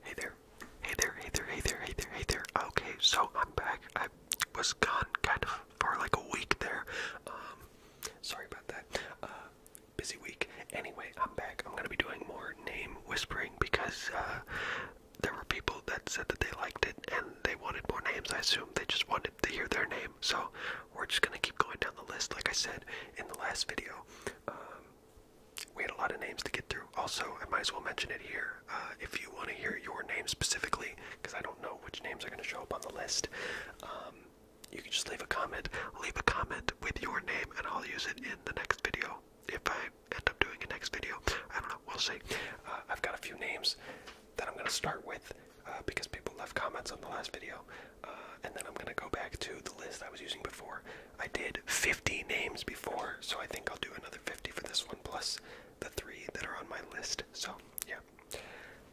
Hey there. Hey there, hey there, hey there, hey there, hey there. Okay, so I'm back. I was gone kind of for like a week there. Um, sorry about that. Uh, busy week. Anyway, I'm back. I'm gonna be doing more name whispering because, uh, there were people that said that they liked it and they wanted more names. I assume they just wanted to hear their name. So we're just gonna keep going down the list, like I said in the last video. Um, we had a lot of names to get through. Also, I might as well mention it here. Uh, if you want to hear your name specifically, because I don't know which names are going to show up on the list, um, you can just leave a comment. Leave a comment with your name, and I'll use it in the next video. If I end up doing a next video, I don't know. We'll see. Uh, I've got a few names that I'm going to start with uh, because people left comments on the last video, and then I'm going to go back to the list I was using before I did 50 names before, so I think I'll do another 50 for this one, plus the three that are on my list. So, yeah.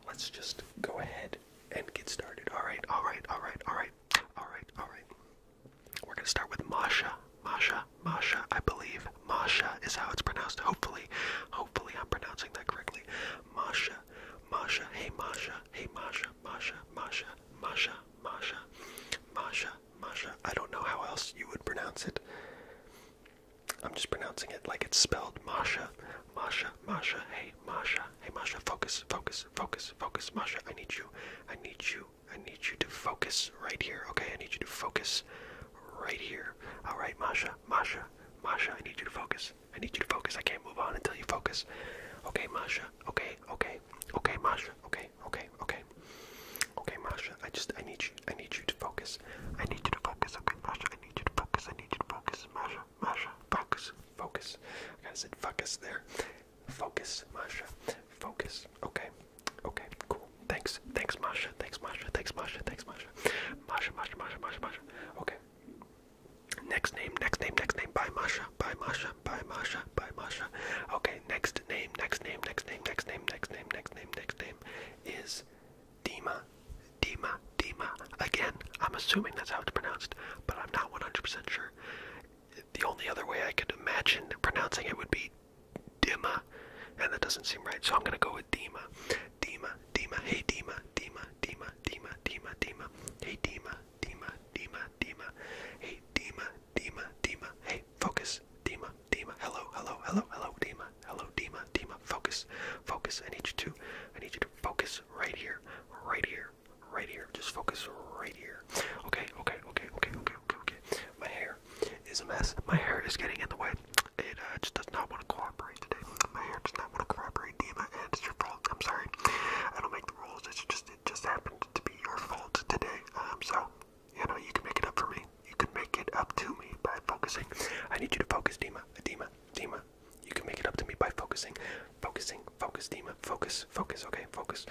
Let's just go ahead and get started. Alright, alright, alright, alright, alright, alright. We're gonna start with Masha. Masha, Masha, I believe. Masha is how it's pronounced. Hopefully, hopefully I'm pronouncing that correctly. Masha, Masha, hey Masha, hey Masha, Masha, Masha, Masha, Masha, Masha, Masha. I don't know how else you would pronounce it. I'm just pronouncing it like it's spelled Masha, Masha, Masha. Hey, Masha, hey, Masha. Focus, focus, focus, focus, Masha. I need you. I need you. I need you to focus right here. Okay, I need you to focus right here. All right, Masha, Masha, Masha. I need you to focus. I need you to focus. I can't move on until you focus. Okay, Masha. Okay, okay, okay, Masha. Okay, okay, okay, okay. Okay, Masha, I just I need you I need you to focus. I need you to focus, okay, Masha, I need you to focus, I need you to focus, Masha, Masha, focus, focus. I gotta said focus there. Focus, Masha. Focus. Okay. Okay, cool. Thanks. Thanks, Masha. Thanks, Masha. Thanks, Masha. Thanks, Masha. Masha, Masha, Masha, Masha, Masha. Okay. Next name, next name, next name. Bye, Masha. Bye, Masha. Bye, Masha. Bye, Masha. Okay, next name, next name, next name, next name, next name, next name, next name is Dima. Dima. Dima. Again, I'm assuming that's how it's pronounced, but I'm not 100% sure. The only other way I could imagine pronouncing it would be Dima, and that doesn't seem right, so I'm gonna go with Dima. Dima. Dima. Hey, Dima. Dima. Dima. Dima. Dima. Dima. Hey, Dima. Dima. Dima. Dima. Hey, Dima. Dima, Dima. Hey, focus. Dima, Dima. Hello, hello, hello, hello, Dima. Hello, Dima, Dima. Focus, focus. I need you to, I need you to focus right here, right here, right here. Just focus right here. Okay, okay, okay, okay, okay, okay, okay. My hair is a mess. My hair is getting in the way. It uh, just does not want to cooperate today. My hair does not want to cooperate, Dima, and it's your fault. I'm sorry. I don't make the rules. It's just just it just happened to be your fault today. Um, so you know you can make it up for me. You can make it up to me by focusing. I need you to focus, Dima. Dima. Dima. You can make it up to me by focusing, focusing, focus, Dima, focus, focus. Okay, focus.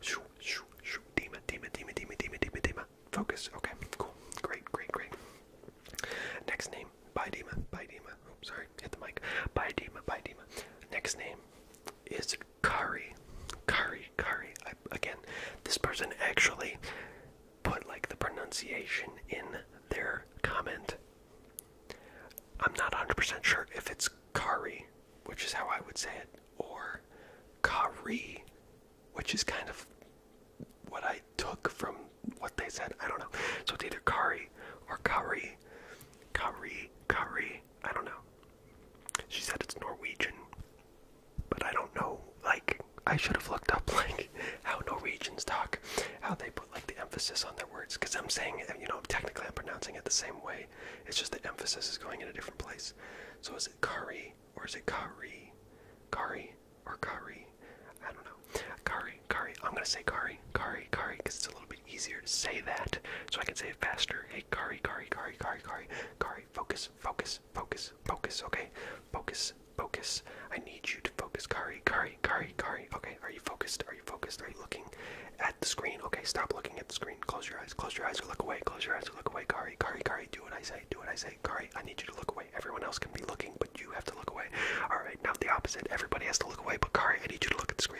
Shoo, shoo, shoo. Dima, Dima, Dima, Dima, Dima, Dima, Dima. Focus. Okay, cool. Great, great, great. Next name, Bidema, Bidema. Oh, sorry, hit the mic. Bidema, Bidema. Next name is Kari, Kari, Kari. again, this person actually put like the pronunciation in their comment. I'm not 100% sure if it's Kari, which is how I would say it, or Kari, which is kind of what I took from what they said. I don't know. So it's either Kari or Kari, Kari, Kari. I don't know. She said it's Norwegian, but I don't know. Like, I should have looked up like how Norwegians talk, how they put like the emphasis on their words. Because I'm saying, you know, technically I'm pronouncing it the same way. It's just the emphasis is going in a different place. So is it Kari or is it Kari? Kari or Kari? I don't know. Kari, Kari. I'm gonna say Kari, Kari, Kari, because it's a little bit easier to say that so I can say it faster. Hey, Kari, Kari, Kari, Kari, Kari, Kari, focus, focus, focus, focus, okay? Focus, focus. I need you to focus, Kari, Kari, Kari, Kari. Okay, are you focused? Are you focused? Are you looking at the screen? Okay, stop looking at the screen. Close your eyes, close your eyes or look away, close your eyes or look away, Kari, Kari, Kari, do what I say, do what I say, Kari, I need you to look away. Everyone else can be looking, but you have to look away. Alright, now the opposite. Everybody has to look away, but Kari, I need you to look at the screen.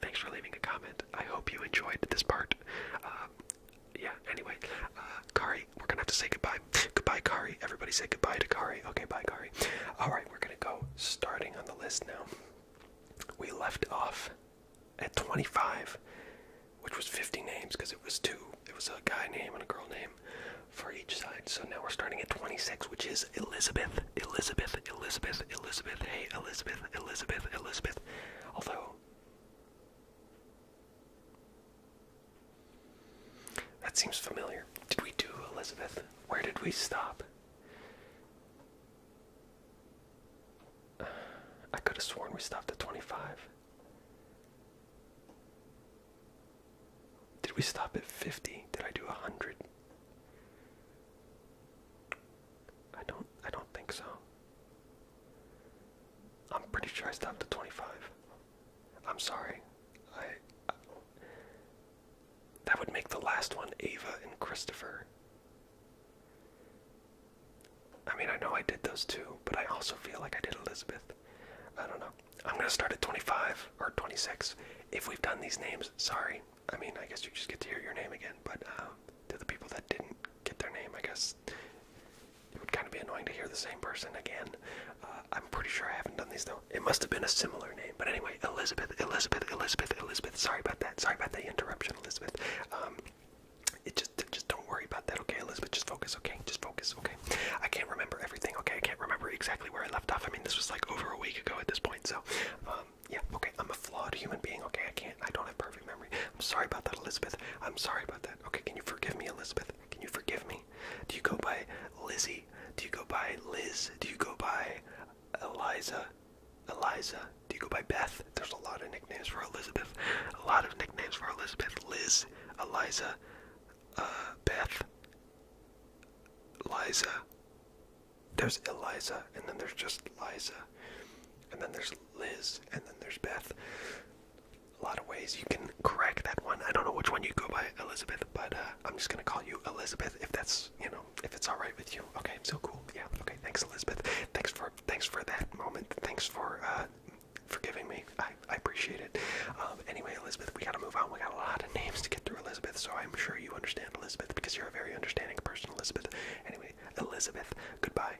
Thanks for leaving a comment. I hope you enjoyed this part. Um, yeah, anyway, uh, Kari, we're gonna have to say goodbye. goodbye, Kari. Everybody say goodbye to Kari. Okay, bye, Kari. Alright, we're gonna go starting on the list now. We left off at 25, which was 50 names because it was two. It was a guy name and a girl name for each side. So now we're starting at 26, which is Elizabeth, Elizabeth, Elizabeth, Elizabeth. Hey, Elizabeth, Elizabeth, Elizabeth. Although that seems familiar. Did we do Elizabeth? Where did we stop? I could have sworn we stopped at 25. Did we stop at 50? Did I do 100? I don't I don't think so. I'm pretty sure I stopped at 25. I'm sorry. I, I that would make the last one Ava and Christopher. I mean, I know I did those two, but I also feel like I did Elizabeth. I don't know. I'm gonna start at 25 or 26. If we've done these names, sorry. I mean, I guess you just get to hear your name again, but. Um, to the people that didn't get their name. I guess it would kind of be annoying to hear the same person again. Uh, I'm pretty sure I haven't done these though. It must have been a similar name, but anyway, Elizabeth, Elizabeth, Elizabeth, Elizabeth. Sorry about that. Sorry about the interruption, Elizabeth. Um, it just, just don't worry about that, okay, Elizabeth. Just focus, okay. Just focus, okay. I can't remember everything, okay. I can't remember exactly where I left off. I mean, this was like over a week ago at this point, so um, yeah, okay. I'm a flawed human being, okay. I can't I don't have perfect memory. I'm sorry about that, Elizabeth. I'm sorry about that. Okay, can you forgive me, Elizabeth? Can you forgive me? Do you go by Lizzie? Do you go by Liz? Do you go by Eliza? Eliza? Do you go by Beth? There's a lot of nicknames for Elizabeth. A lot of nicknames for Elizabeth. Liz, Eliza, uh, Beth, Liza. There's Eliza, and then there's just Liza. And then there's Liz, and then there's Beth. A lot of ways you can correct that one. I don't know which one you go by, Elizabeth, but uh, I'm just gonna call you Elizabeth if that's you know if it's all right with you. Okay, so cool. Yeah. Okay. Thanks, Elizabeth. Thanks for thanks for that moment. Thanks for uh, forgiving me. I, I appreciate it. Um, anyway, Elizabeth, we gotta move on. We got a lot of names to get through, Elizabeth. So I'm sure you understand Elizabeth because you're a very understanding person, Elizabeth. Anyway, Elizabeth, goodbye.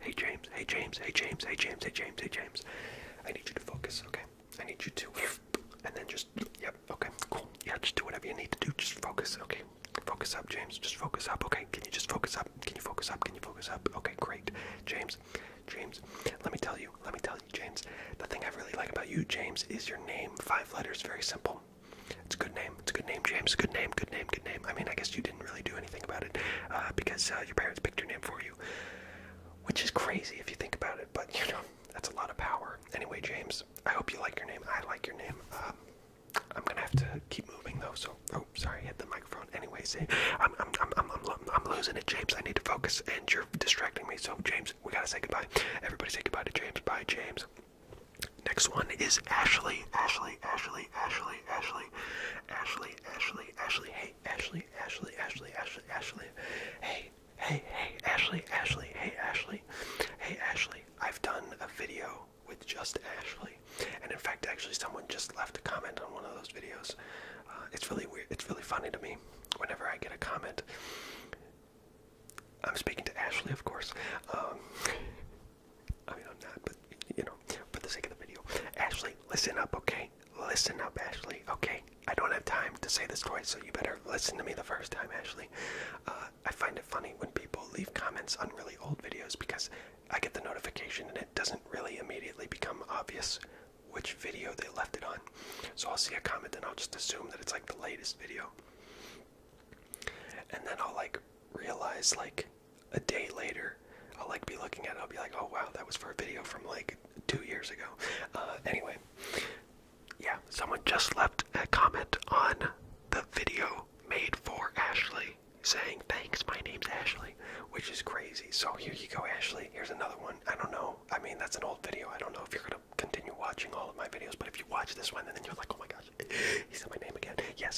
Hey James. Hey James. Hey James. Hey James. Hey James. Hey James. I need you to focus, okay? I need you to and then just yep, okay, cool. Yeah, just do whatever you need to do. Just focus, okay? Focus up, James. Just focus up, okay? Can you just focus up? Can you focus up? Can you focus up? Okay, great. James. James. Let me tell you. Let me tell you, James. The thing I really like about you, James, is your name. Five letters, very simple. It's a good name. It's a good name, James. Good name. Good name. Good name. I mean, I guess you did didn't really do anything about it uh, because uh, your parents picked your name for you, which is crazy if you think about it. But you know, that's a lot of power. Anyway, James, I hope you like your name. I like your name. Um, I'm gonna have to keep moving though. So, oh, sorry, I hit the microphone. Anyway, see, I'm, I'm, I'm, I'm, I'm losing it, James. I need to focus, and you're distracting me. So, James, we gotta say goodbye. Everybody, say goodbye to James. Bye, James. Next one is Ashley. Ashley, Ashley, Ashley, Ashley. Ashley, Ashley, Ashley, hey, Ashley, Ashley, Ashley, Ashley, Ashley, hey, hey, hey, Ashley, Ashley, hey, Ashley, hey, Ashley. I've done a video with just Ashley, and in fact, actually, someone just left a comment on one of those videos. Uh, it's really weird. It's really funny to me whenever I get a comment. I'm speaking to Ashley, of course. Um, I mean, I'm not, but you know, for the sake of the video. Ashley, listen up, okay? Listen up, Ashley, okay? I don't have time to say this twice, so you better listen to me the first time, Ashley. Uh, I find it funny when people leave comments on really old videos because I get the notification and it doesn't really immediately become obvious which video they left it on. So I'll see a comment and I'll just assume that it's like the latest video. And then I'll like realize like a day later, I'll like be looking at it. I'll be like, oh wow, that was for a video from like two years ago. Uh, anyway, yeah, someone just left a comment on the video made for Ashley saying, thanks, my name's Ashley, which is crazy. So here you go, Ashley. Here's another one. I don't know. I mean, that's an old video. I don't know if you're going to continue watching all of my videos, but if you watch this one then you're like, oh my gosh, he said my name again. Yes.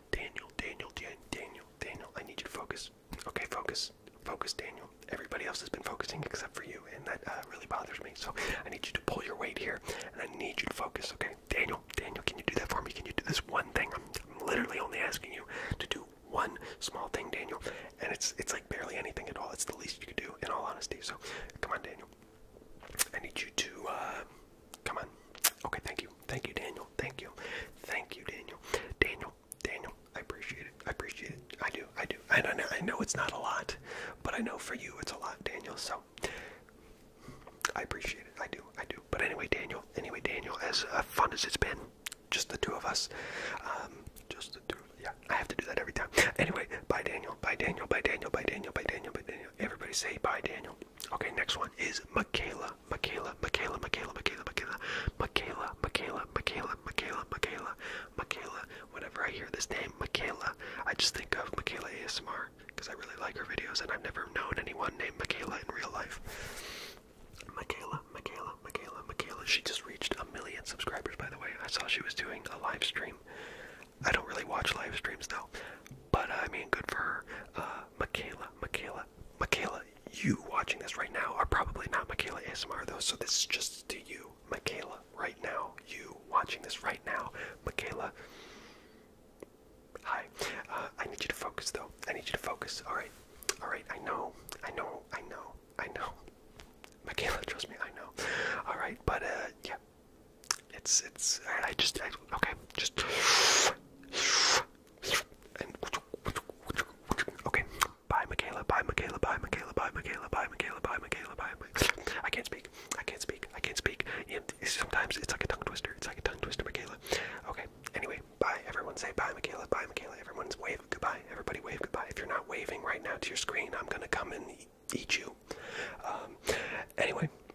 Daniel, Daniel, Daniel, Daniel, I need you to focus. Okay, focus, focus, Daniel. Everybody else has been focusing except for you, and that uh, really bothers me. So I need you to pull your weight here, and I need you to focus. Okay, Daniel, Daniel, can you do that for me? Can you do this one thing? I'm, literally only asking you to do one small thing, Daniel, and it's it's like barely anything at all. It's the least you could do, in all honesty. So come on, Daniel. I need you to. Uh, Come on. Okay, thank you. Thank you, Daniel. Thank you. Thank you, Daniel. Daniel, Daniel, I appreciate it. I appreciate it. I do. I do. I know, I know it's not a lot, but I know for you it's a lot, Daniel. So I appreciate it. I do. I do. But anyway, Daniel, anyway, Daniel, as uh, fun as it's been, just the two of us, um, just the two of Yeah, I have to do that every time. Anyway, bye, Daniel. Bye, Daniel. Bye, Daniel. Bye, Daniel. Bye, Daniel. Bye, Daniel. Everybody say bye, Daniel. Okay, next one is Michaela, Michaela, Michaela, Michaela, Michaela, Michaela, Michaela, Michaela, Michaela, Michaela, Michaela, Michaela. Whenever I hear this name, Michaela, I just think of Michaela ASMR because I really like her videos and I've never known anyone named Michaela in real life. Michaela, Michaela, Michaela, Michaela. She just reached a million subscribers, by the way. I saw she was doing a live stream. I don't really watch live streams though, but I mean, good for her. Uh, Michaela, Michaela, Michaela, you watching this right now are probably not Michaela ASMR though, so this is just to you, Michaela, right now. You watching this right now, Michaela. Hi. Uh, I need you to focus though. I need you to focus. Alright. Alright, I know. I know. I know. I know. Michaela, trust me, I know. Alright, but uh, yeah. It's it's I, just I, okay, just Okay. Bye, Michaela. Bye, Michaela. Bye, Michaela. Bye, Michaela. Bye, Michaela. Bye, Michaela. Bye, I can't speak. I can't speak. I can't speak. And Sometimes it's like a tongue twister. It's like a tongue twister, Michaela. Okay. Anyway, bye. Everyone say bye, Michaela. Bye, Michaela. Everyone's wave goodbye. Everybody wave goodbye. If you're not waving right now to your screen, I'm gonna come and eat you. Um, anyway,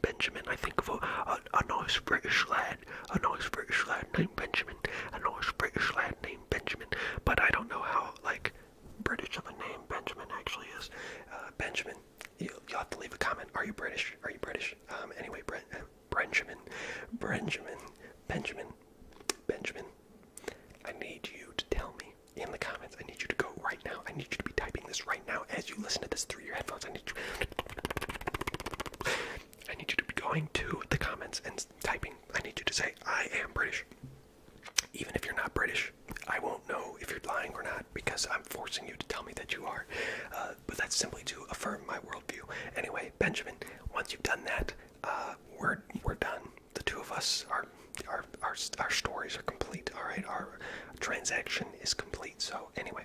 Benjamin. I think of a, a, nice British lad, a nice British lad named Benjamin, a nice British lad named Benjamin. But I don't know how like British of a name Benjamin actually is. Uh, Benjamin, you, you have to leave a comment. Are you British? Are you British? Um, anyway, Brent, uh, Benjamin, Benjamin, Benjamin, Benjamin. I need you to tell me in the comments. I need you to go right now. I need you to be typing this right now as you listen to this through your headphones, I need you I need you to be going to the comments and typing. I need you to say, I am British. Even if you're not British, I won't know if you're lying or not because I'm forcing you to tell me that you are. Uh, but that's simply to affirm my worldview. Anyway, Benjamin, once you've done that, uh, we're we're done. The two of us are our our stories are complete. All right, our transaction is complete. So anyway,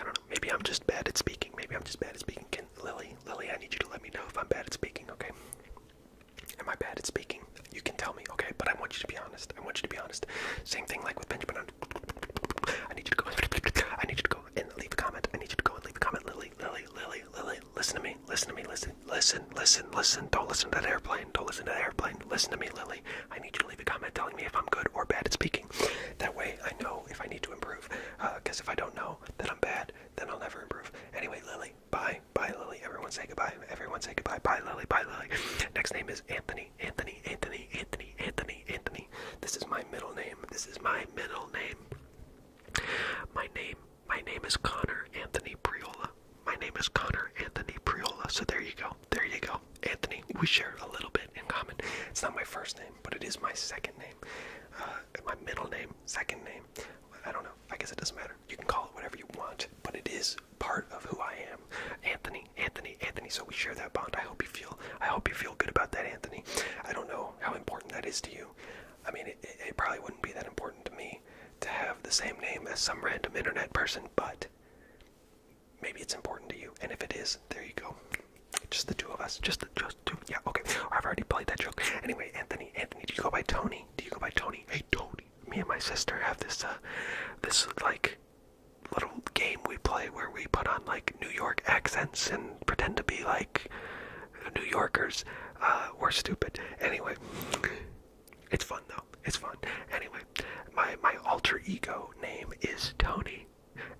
I don't know. Maybe I'm just bad at speaking. Maybe I'm just bad at speaking. Lily, Lily, I need you to let me know if I'm bad at speaking, okay? Am I bad at speaking? You can tell me, okay? But I want you to be honest. I want you to be honest. Same thing like with Benjamin. I need you to go. I need you to go and leave a comment. I need you to go and leave a comment. Lily, Lily, Lily, Lily, listen to me. Listen to me. Listen, listen, listen, listen. Don't listen to that airplane. Don't listen to that airplane. Listen to me, Lily. I need you to leave a comment telling me if I'm good or bad at speaking. That way, I know if I need to improve. Because uh, if I don't know that I'm bad, then I'll never improve. Anyway, Lily, bye. Bye, Lily. Everyone say goodbye. Everyone say goodbye. Bye, Lily. Bye, Lily. Next name is Anthony. Anthony, Anthony, Anthony, Anthony, Anthony. This is my middle name. This is my middle name. My name. My name is Connor Anthony Priola. My name is Connor Anthony Priola. So there you go. There you go. Anthony, we share a little bit in common. It's not my first name, but it is my second name. Uh, my middle name, second name. I don't know. I guess it doesn't matter. You can call it whatever you want, but it is part of who I am. Anthony, Anthony, Anthony. So we share that bond. I hope you feel. I hope you feel good about that, Anthony. I don't know how important that is to you. I mean, it probably wouldn't be that important to me to have the same name as some random internet person, but maybe it's important to you. And if it is, there you go. Just the two of us. Just the just two. Yeah, okay. I've already played that joke. Anyway, Anthony, Anthony, do you go by Tony? Do you go by Tony? Hey, Tony. Me and my sister have this, uh, this like little game we play where we put on like New York accents and pretend to be like New Yorkers. Uh, we're stupid. Anyway, it's fun though. It's fun. Anyway, my my alter ego name is Tony.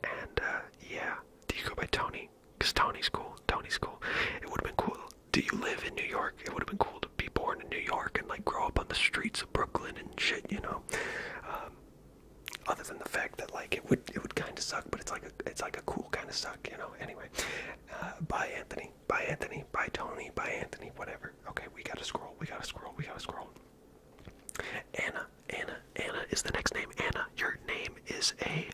And uh, yeah, do you go by Tony? Cause Tony's cool. Tony's cool. It would have been cool. Do you live in New York? It would have been cool to be born in New York and like grow up on the streets of Brooklyn and shit, you know. Um, other than the fact that like it would it would kind of suck, but it's like a it's like a cool kind of suck, you know. Anyway, uh, bye Anthony, bye Anthony, bye Tony, bye Anthony, whatever. Okay, we gotta scroll, we gotta scroll, we gotta scroll. Anna, Anna, Anna is the next name. Anna, your name is a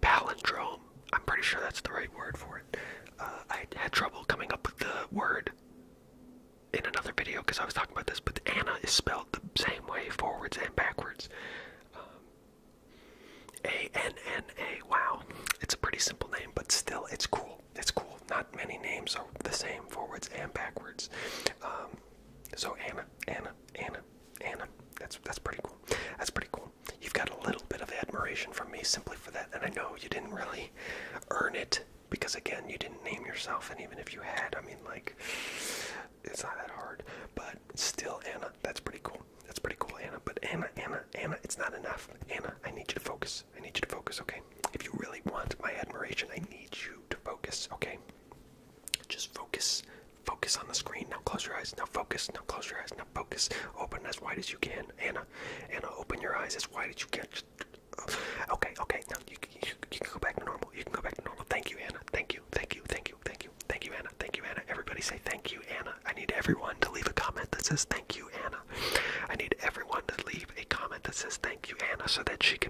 palindrome. I'm pretty sure that's the right word for it. Uh, I had trouble coming up with the word in another video because I was talking about this, but Anna is spelled the same way forwards and backwards. Um, a N N A. Wow, it's a pretty simple name, but still, it's cool. It's cool. Not many names are the same forwards and backwards. Um, so Anna, Anna, Anna, Anna. That's that's pretty cool. That's pretty cool. You've got a little bit of admiration from me simply for that, and I know you didn't really earn it because again, you didn't name yourself, and even if you had, I mean, like, it's not that hard. But still, Anna, that's pretty cool. That's pretty cool, Anna. But Anna, Anna, Anna, it's not enough. Anna, I need you to focus. I need you to focus, okay? If you really want my admiration, I need you to focus, okay? Just focus. Focus on the screen. Now close your eyes. Now focus. Now close your eyes. Now focus. Open as wide as you can. Anna, Anna, open your eyes as wide as you can. Just, okay, okay. Now you, you, you can go back to normal. You can go back to normal. Thank you, Anna. Thank you. Thank you. Thank you. Thank you. Thank you, Anna. Thank you, Anna. Everybody say thank you, Anna. I need everyone to leave a comment that says thank you, Anna. I need everyone to leave a comment that says thank you, Anna, so that she can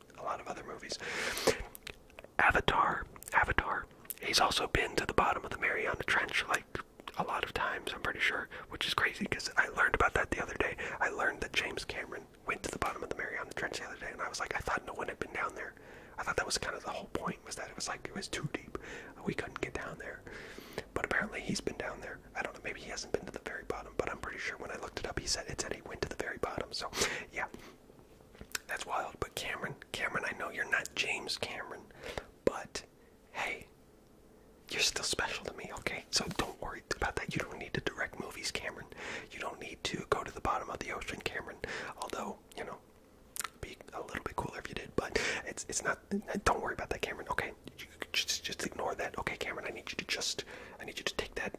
a lot of other movies. Avatar, Avatar. He's also been to the bottom of the Mariana Trench like a lot of times, I'm pretty sure, which is crazy because I learned about that the other day. I learned that James Cameron went to the bottom of the Mariana Trench the other day, and I was like, I thought no one had been down there. I thought that was kind of the whole point was that it was like it was too deep, we couldn't get down there. But apparently he's been down there. I don't know, maybe he hasn't been to the very bottom, but I'm pretty sure when I looked it up, he said it said he went to the very bottom. So yeah, that's wild. But Cameron, Cameron, I know you're not James Cameron, but hey, you're still special to me, okay? So don't worry about that. You don't need to direct movies, Cameron. You don't need to go to the bottom of the ocean, Cameron. Although, you know, be a little bit cooler if you did, but it's it's not. Don't worry about that, Cameron. Okay, just just ignore that. Okay, Cameron, I need you to just I need you to take that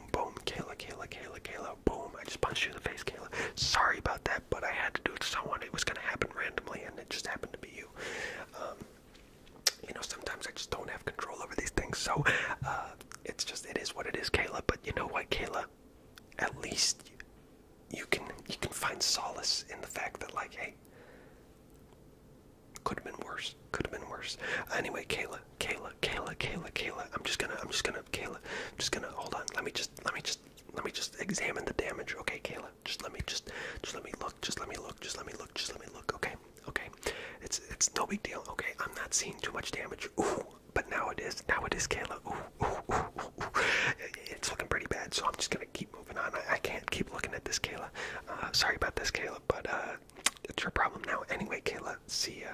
boom, boom, Kayla, Kayla, Kayla, Kayla, boom. I just punched you in the face, Kayla. Sorry about that, but I had to do it to someone. It was gonna happen randomly, and it just happened to be you. Um, you know, sometimes I just don't have control over these things, so uh, it's just it is what it is, Kayla. But you know what, Kayla? At least you, you can you can find solace in the fact that like, hey, could have been worse. Could have been worse. Anyway, Kayla, Kayla, Kayla, Kayla, Kayla. I'm just gonna I'm just gonna Kayla just gonna hold on. Let me just let me just let me just examine the damage. Okay, Kayla. Just let me just just let me look. Just let me look. Just let me look. Just let me look. Okay. Okay. It's it's no big deal. Okay. I'm not seeing too much damage. Ooh. But now it is. Now it is, Kayla. Ooh. Ooh. Ooh. ooh. It's looking pretty bad. So I'm just gonna keep moving on. I, can't keep looking at this, Kayla. Uh, sorry about this, Kayla. But uh, it's your problem now. Anyway, Kayla. See ya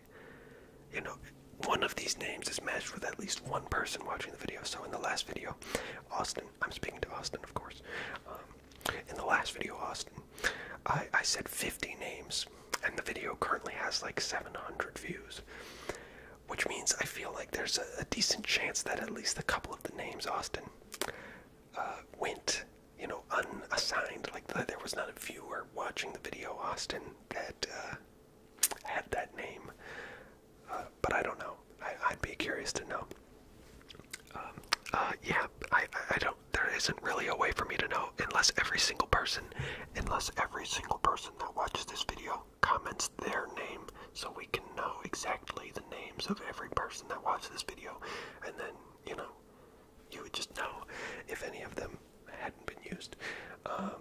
you know, one of these names is matched with at least one person watching the video. So in the last video, Austin, I'm speaking to Austin, of course. Um, in the last video, Austin, I, I said 50 names, and the video currently has like 700 views, which means I feel like there's a, decent chance that at least a couple of the names Austin uh, went, you know, unassigned. Like there was not a viewer watching the video Austin that. Uh, had that name, uh, but I don't know. I, would be curious to know. Um, uh, yeah, I, I don't. There isn't really a way for me to know unless every single person, unless every single person that watches this video comments their name, so we can know exactly the names of every person that watched this video, and then you know, you would just know if any of them hadn't been used. Um,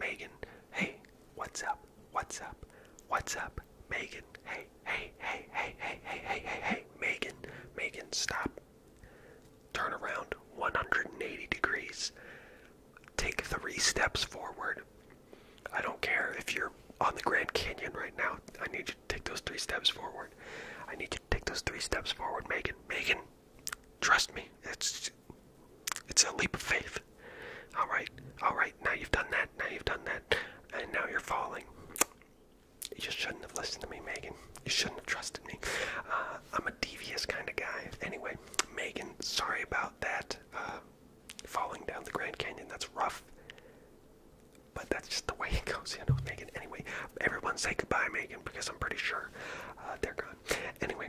Megan, hey, what's up? What's up? What's up? Megan, hey, hey, hey, hey, hey, hey, hey, hey, hey, Megan, Megan, stop. Turn around 180 degrees. Take three steps forward. I don't care if you're on the Grand Canyon right now. I need you to take those three steps forward. I need you to take those three steps forward, Megan. Megan, trust me. It's it's a leap of faith. All right, all right. Now you've done that. Now you've done that, and now you're falling. You just shouldn't have listened to me, Megan. You shouldn't have trusted me. Uh, I'm a devious kind of guy. Anyway, Megan, sorry about that. Uh, falling down the Grand Canyon. That's rough. But that's just the way it goes, you know, Megan. Anyway, everyone say goodbye, Megan, because I'm pretty sure uh, they're gone. Anyway,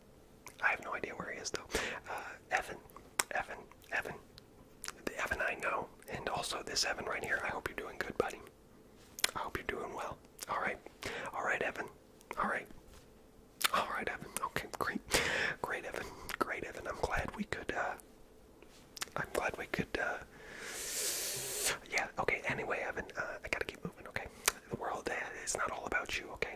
I have no idea where he is though. Uh, Evan, Evan, Evan, the Evan I know, and also this Evan right here. I hope you're doing good, buddy. I hope you're doing well. All right, all right, Evan. All right, all right, Evan. Okay, great, great, Evan, great, Evan. I'm glad we could. Uh, I'm glad we could. Uh, yeah. Okay. Anyway, Evan, uh, I gotta keep moving. Okay, the world is not all about you. Okay,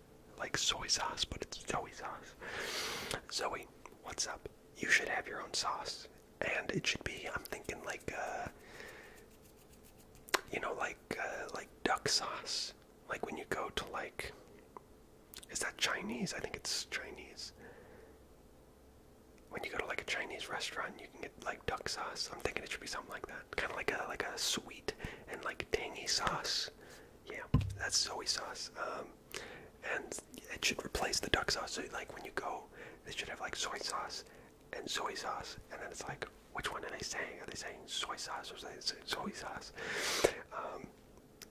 like soy sauce, but it's Zoe sauce. Zoe, what's up? You should have your own sauce, and it should be. I'm thinking like, uh, you know, like uh, like duck sauce. Like when you go to like, is that Chinese? I think it's Chinese. When you go to like a Chinese restaurant, you can get like duck sauce. I'm thinking it should be something like that, kind of like a like a sweet and like tangy sauce. Yeah, that's Zoe sauce. Um, and it should replace the duck sauce. So like when you go, they should have like soy sauce and soy sauce, and then it's like, which one are they saying? Are they saying soy sauce or soy sauce? Um,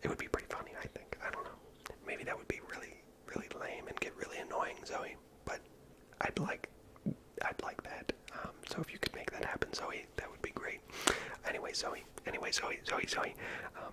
it would be pretty funny, I think. I don't know. Maybe that would be really, really lame and get really annoying, Zoe. But I'd like, I'd like that. Um, so if you could make that happen, Zoe, that would be great. Anyway, Zoe. Anyway, Zoe, Zoe, Zoe. Um,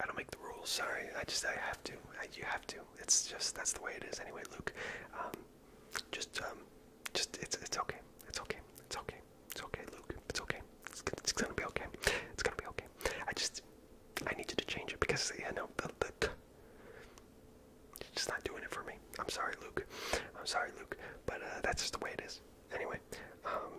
I don't make the rules. Sorry, I just I have to. you have to. It's just that's the way it is. Anyway, Luke, um, just um, just it's it's okay. It's okay. It's okay. It's okay, Luke. It's okay. It's, gonna be okay. It's gonna be okay. I just I need you to change it because you yeah, know the the. It's just not doing it for me. I'm sorry, Luke. I'm sorry, Luke. But uh, that's just the way it is. Anyway, um,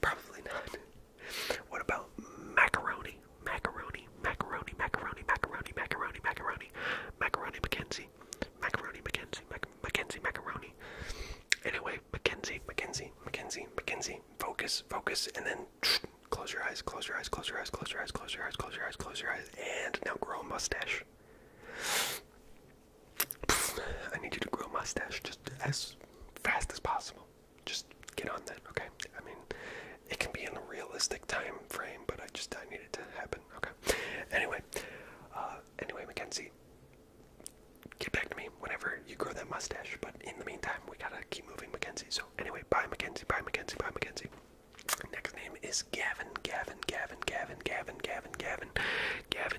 Probably not. What about macaroni? Macaroni, macaroni, macaroni, macaroni, macaroni, macaroni, macaroni, Mackenzie, macaroni, Mackenzie, Mac Mackenzie, macaroni. Anyway, Mackenzie, Mackenzie, Mackenzie, Mackenzie. Focus, focus, and then close your eyes, close your eyes, close your eyes, close your eyes, close your eyes, close your eyes, close your eyes, and now grow a mustache. I need you to grow a mustache just as fast as possible. Just get on that, okay? I mean, it can be in a realistic time frame, but I just I need it to happen, okay? Anyway, uh, anyway, Mackenzie, get back to me whenever you grow that mustache. But in the meantime, we gotta keep moving, Mackenzie. So anyway, bye, Mackenzie. Bye, Mackenzie. Bye, Mackenzie. Next name is Gavin. Gavin. Gavin. Gavin. Gavin. Gavin. Gavin. Gavin.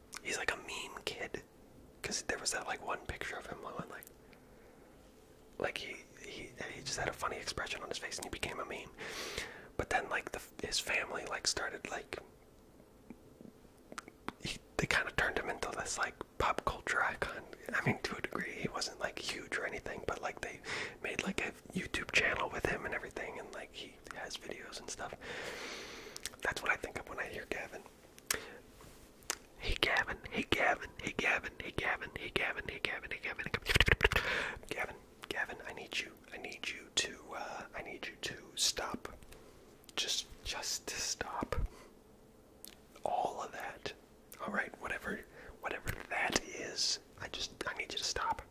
He's like a meme kid, cause there was that like one picture of him and like, like he he he just had a funny expression on his face and he became a meme. But then like the his family like started like, he, they kind of turned him into this like pop culture icon. I mean to a degree he wasn't like huge or anything, but like they made like a YouTube channel with him and everything and like he he has videos and stuff. That's what I think of when I hear Gavin. Hey Gavin, hey Gavin, hey Gavin, hey Gavin, hey Gavin, hey Gavin, hey Gavin, Gavin. Gavin, I need you. I need you to uh, I need you to stop. Just just to stop. All of that. Alright, whatever whatever that is, I just I need you to stop.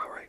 Alright.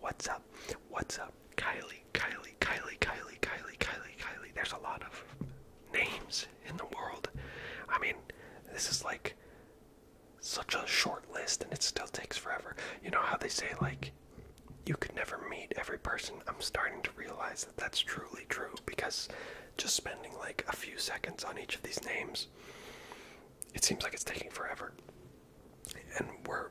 What's up? What's up? Kylie, Kylie, Kylie, Kylie, Kylie, Kylie, Kylie. Kylie. There's a lot of names in the world. I mean, this is like such a short list and it still takes forever. You know how they say, like, you could never meet every person. I'm starting to realize that that's truly true because just spending like a few seconds on each of these names, it seems like it's taking forever. And we're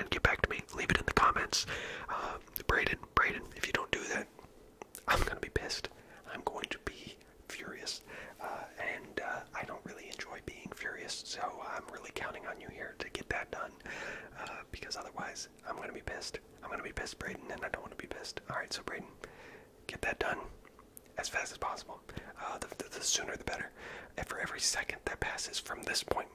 and get back to me. Leave it in the comments. Uh, um, Braden, Braden, if you don't do that, I'm gonna be pissed. I'm going to be furious, uh, and uh, I don't really enjoy being furious. So I'm really counting on you here to get that done, uh, because otherwise I'm gonna be pissed. I'm gonna be pissed, Braden, and I don't want to be pissed. All right, so Braden, get that done as fast as possible. the, the sooner the better. And for every second that passes from this point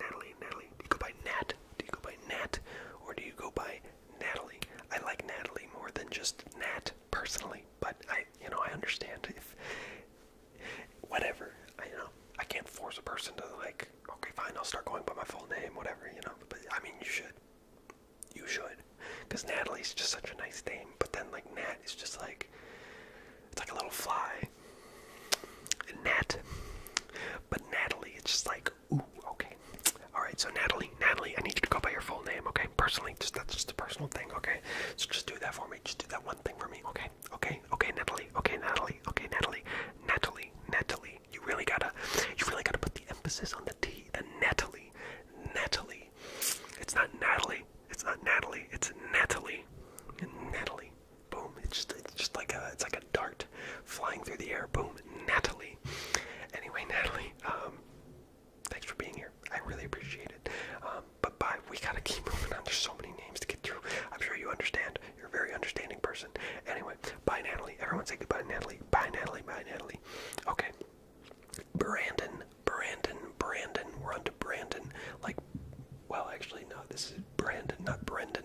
Natalie, Natalie, Do you go by Nat? Do you go by Nat? Or do you go by Natalie? I like Natalie more than just Nat personally, but I, you know, I understand if whatever. you know I can't force a person to like. Okay, fine. I'll start going by my full name, whatever. You know, but I mean, you should. You should, because Natalie's just such a nice name. But then like Nat is just like, it's like a little fly. Nat, but Natalie, it's just like Ooh, okay. Alright, so Natalie, Natalie, I need you to go by your full name, okay? Personally, just that's just a personal thing, okay? So just do that for me. Just do that one thing for me, okay? Okay, okay, Natalie, okay, Natalie, okay, Natalie, Natalie, Natalie. You really gotta you really gotta put the emphasis on the T, the Natalie. Natalie. It's not Natalie. It's not Natalie. It's Natalie. Natalie. Boom. It's just it's just like a it's like a dart flying through the air. Boom, Natalie. Anyway, Natalie, um, thanks for being here. I really appreciate it. Um, but bye. We gotta keep moving on. There's so many names to get through. I'm sure you understand. You're a very understanding person. Anyway, bye, Natalie. Everyone say goodbye, Natalie. Bye, Natalie. Bye, Natalie. Okay. Brandon, Brandon, Brandon. We're on to Brandon. Like, well, actually, no. This is Brandon, not Brendan.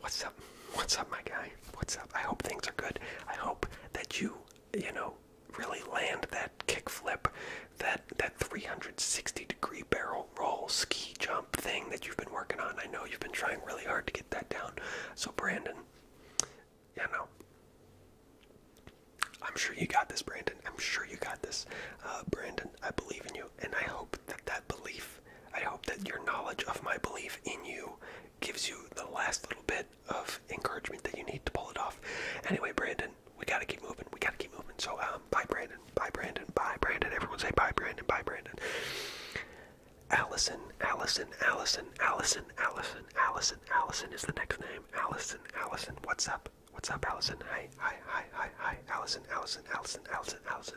What's up? What's up, my guy? What's up? I hope things are good. I hope that you, you know, really land that kickflip, that that 360 degree barrel roll ski jump thing that you've been working on. I know you've been trying really hard to get that down. So Brandon, you know, I'm sure you got this, Brandon. I'm sure you got this, uh, Brandon. I believe in you, and I hope that that belief, I hope that your knowledge of my belief in you gives you the last little bit of encouragement that you need to pull it off. Anyway, Brandon, we gotta keep moving. We gotta keep moving. So, um, bye, Brandon. Bye, Brandon. Bye, Brandon. Everyone say bye, Brandon. Bye, Brandon. Allison, Allison, Allison, Allison, Allison, Allison, Allison is the next name. Allison, Allison. What's up? What's up, Allison? Hi, hi, hi, hi, hi. Allison, Allison, Allison, Allison, Allison.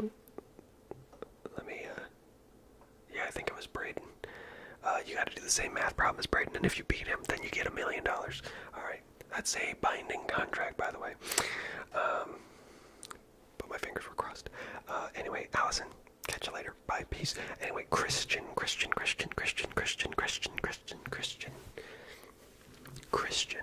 Let me, uh, yeah, I think it was Braden. Uh, you gotta do the same math problem as Braden, and if you beat him, then you get a million dollars. Alright, that's a binding contract, by the way. Um, but my fingers were crossed. Uh, anyway, Allison, catch you later. Bye, peace. Anyway, Christian, Christian, Christian, Christian, Christian, Christian, Christian, Christian, Christian.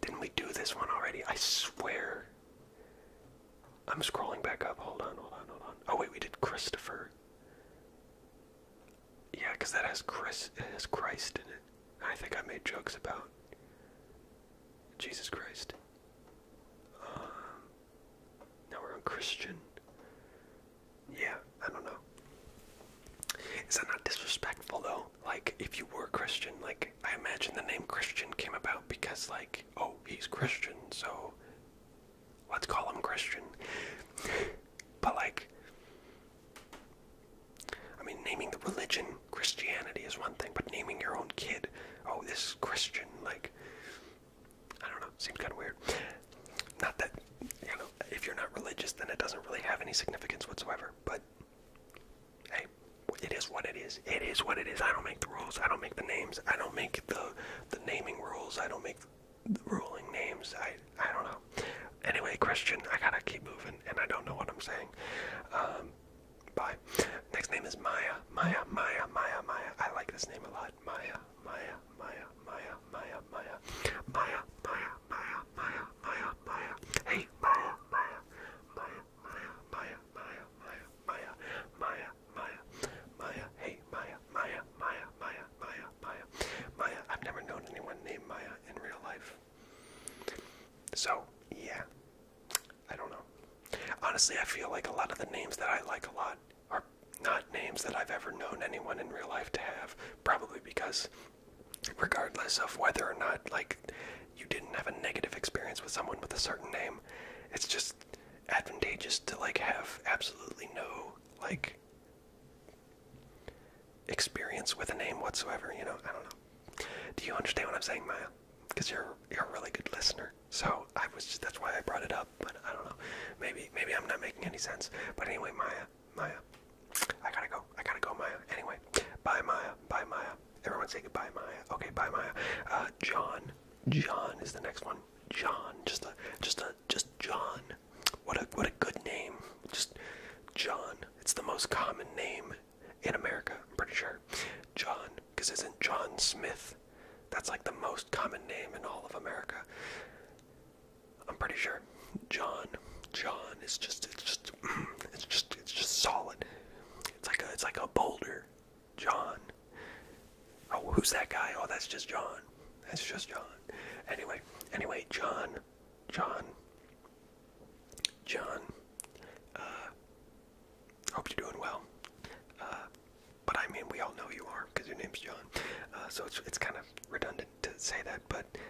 Didn't we do this one already? I swear. I'm scrolling back up. Hold on, hold on, hold on. Oh wait, we did Christopher. Yeah, because that has Chris it has Christ in it. I think I made jokes about Jesus Christ. Um, now we're on Christian. Yeah, I don't know. Is that not disrespectful though? Like, if you were Christian, like, I imagine the name Christian came about because, like, oh, he's Christian, so let's call him Christian. but, like, I mean, naming the religion Christianity is one thing, but naming your own kid, oh, this Christian, like, I don't know, seems kind of weird. Not that, you know, if you're not religious, then it doesn't really have any significance whatsoever sure, but hey, it is what it is. It is what it is. I don't make the rules. I don't make the names. I don't make the the naming rules. I don't make the ruling names. I I don't know. Anyway, Christian, I gotta keep moving, and I don't know what I'm saying. Um, bye. Next name is Maya. Maya. Maya. Maya. Maya. I like this name a lot. Maya. Maya. Maya. Maya. Maya. Maya. Maya. Maya. Maya. Maya. Maya, Maya. Hey, Maya, Maya, Maya, Maya, Maya, Maya, Maya, Maya, Maya, Maya, Maya. Hey, Maya, Maya, Maya, Maya, Maya, Maya, Maya. I've never known anyone named Maya in real life. So yeah, I don't know. Honestly, I feel like a lot of the names that I like a lot are not names that I've ever known anyone in real life to have. Probably because regardless of whether or not like you didn't have a negative experience with someone with a certain name. It's just advantageous to like have absolutely no like experience with a name whatsoever, you know? I don't know. Do you understand what I'm saying, Maya? Because you're you're a really good listener. So I was that's why I brought it up, but I don't know. Maybe maybe I'm not making any sense. But anyway, Maya, Maya. I gotta go. I gotta go, Maya. Anyway, bye, Maya. Bye, Maya. Everyone say goodbye, Maya. Okay, bye, Maya. Uh, John. John is the next one. John. Just a. Just a. Just John. What a. What a good name. Just John. It's the most common name in America. I'm pretty sure. John. Because isn't John Smith? That's like the most common name in all of America. I'm pretty sure. John, John is just it's just it's just it's just solid. It's like a it's like a boulder. John. Oh, who's that guy? Oh, that's just John. That's just John. Anyway, anyway, John, John, John. Uh, hope you're doing well. Uh, but I mean, we all know you are because your name's John. Uh, so it's it's kind of redundant to say that, but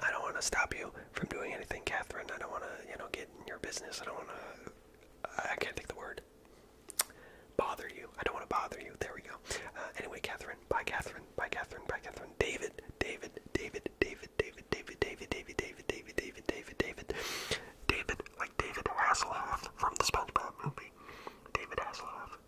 I don't want to stop you from doing anything, Catherine. I don't want to, you know, get in your business. I don't want to. I can't think the word. Bother you. I don't want to bother you. There we go. Uh, anyway, Catherine. Bye, Catherine. Bye, Catherine. Bye, Catherine. David. David. David. David. David. David. David. David. David. David. David. David. David. David. Like David Hasselhoff from the SpongeBob movie. David Hasselhoff.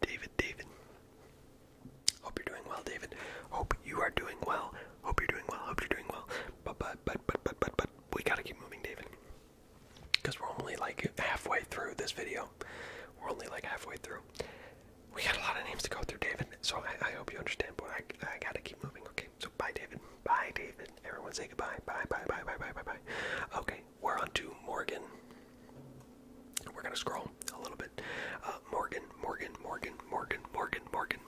David, David, David. Hope you're doing well, David. Hope you are doing well. Hope you're doing well. Hope you're doing well. But, but, but, but, but, but, but, we gotta keep moving, David. Because we're only like halfway through this video. We're only like halfway through. We got a lot of names to go through, David. So I, I hope you understand, but I, I gotta keep moving, okay? So bye, David. Bye, David. Everyone say goodbye. Bye, bye, bye, bye, bye, bye, bye. Okay, we're on to Morgan. We're gonna scroll a little bit. Uh, Morgan, Morgan, Morgan, Morgan, Morgan, Morgan,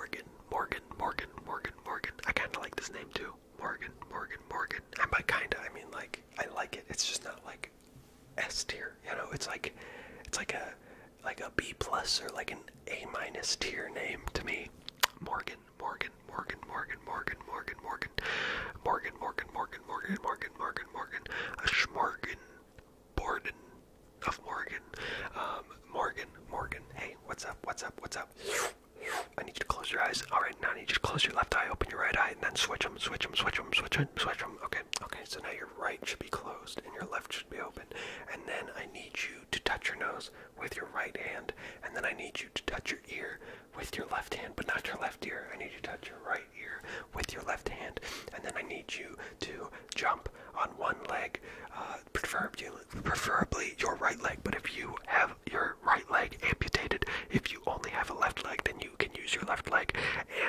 Morgan, Morgan, Morgan, Morgan, Morgan. I kind of like this name too. Morgan, Morgan, Morgan. And by kinda, I mean like I like it. It's just not like S tier. You know, it's like it's like a like a B plus or like an A minus tier name to me. Morgan, Morgan, Morgan, Morgan, Morgan, Morgan, Morgan, Morgan, Morgan, Morgan, Morgan, Morgan, Morgan, Morgan, a Schmorgan, Borden of Morgan, um, Morgan, Morgan. Hey, what's up? What's up? What's up? I need you to close your eyes. All right, now I need you to close your left eye, open your right eye, and then switch them, switch them, switch them, switch them, switch them. Okay, okay. So now your right should be closed and your left should be open. And then I need you to touch your nose with your right hand, and then I need you to touch your ear with your left hand, but not your left ear. I need you to touch your right ear with your left hand, and then I need you to jump on one leg, uh, preferably your right leg. But if you have your right leg amputated, if you only have a left leg, then you can use your left leg.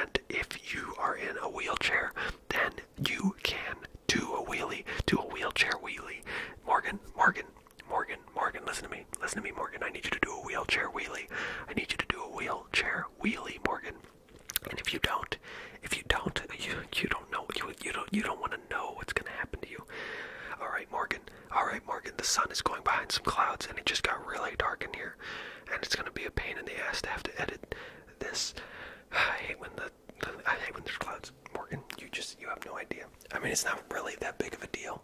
And if you are in a wheelchair, then you can do a wheelie, do a wheelchair wheelie. Morgan, Morgan, Morgan, Morgan, listen to me. Listen to me, Morgan. I need you to do a wheelchair wheelie. I need you to do a wheelchair wheelie, Morgan. And if you don't, if you don't, you you don't know you you don't you don't want to know what's gonna happen to you. All right, Morgan. All right, Morgan. The sun is going behind some clouds, and it just got really dark in here, and it's gonna be a pain in the ass to have to edit this. I hate when the I hate when there's clouds, Morgan. You just you have no idea. I mean, it's not really that big of a deal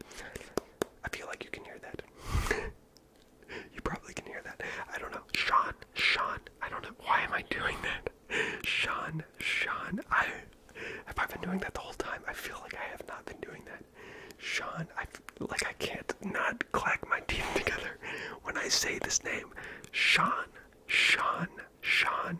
I feel like you can hear that. you probably can hear that. I don't know. Sean, Sean, I don't know. Why am I doing that? Sean, Sean, I have I been doing that the whole time? I feel like I have not been doing that. Sean, I like I can't not clack my teeth together when I say this name. Sean, Sean, Sean,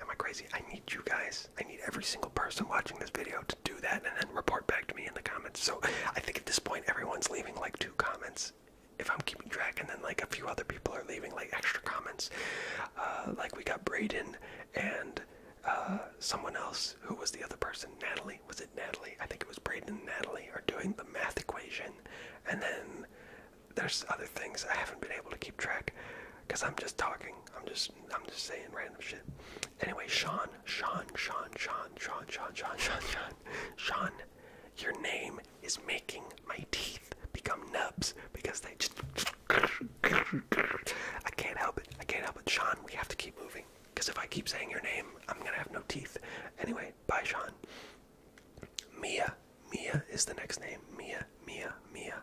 Am I crazy? I need you guys. I need every single person watching this video to do that and then report back to me in the comments. So I think at this point everyone's leaving like two comments if I'm keeping track, and then like a few other people are leaving like extra comments. Uh, like we got Braden and uh, someone else who was the other person, Natalie. Was it Natalie? I think it was Braden and Natalie are doing the math equation, and then there's other things I haven't been able to keep track. Cause I'm just talking. I'm just I'm just saying random shit. Anyway, Sean, Sean, Sean, Sean, Sean, Sean, Sean, Sean, Sean, Sean, your name is making my teeth become nubs because they just I can't help it. I can't help it. Sean, we have to keep moving. Because if I keep saying your name, I'm gonna have no teeth. Anyway, bye Sean. Mia. Mia is the next name. Mia, Mia, Mia,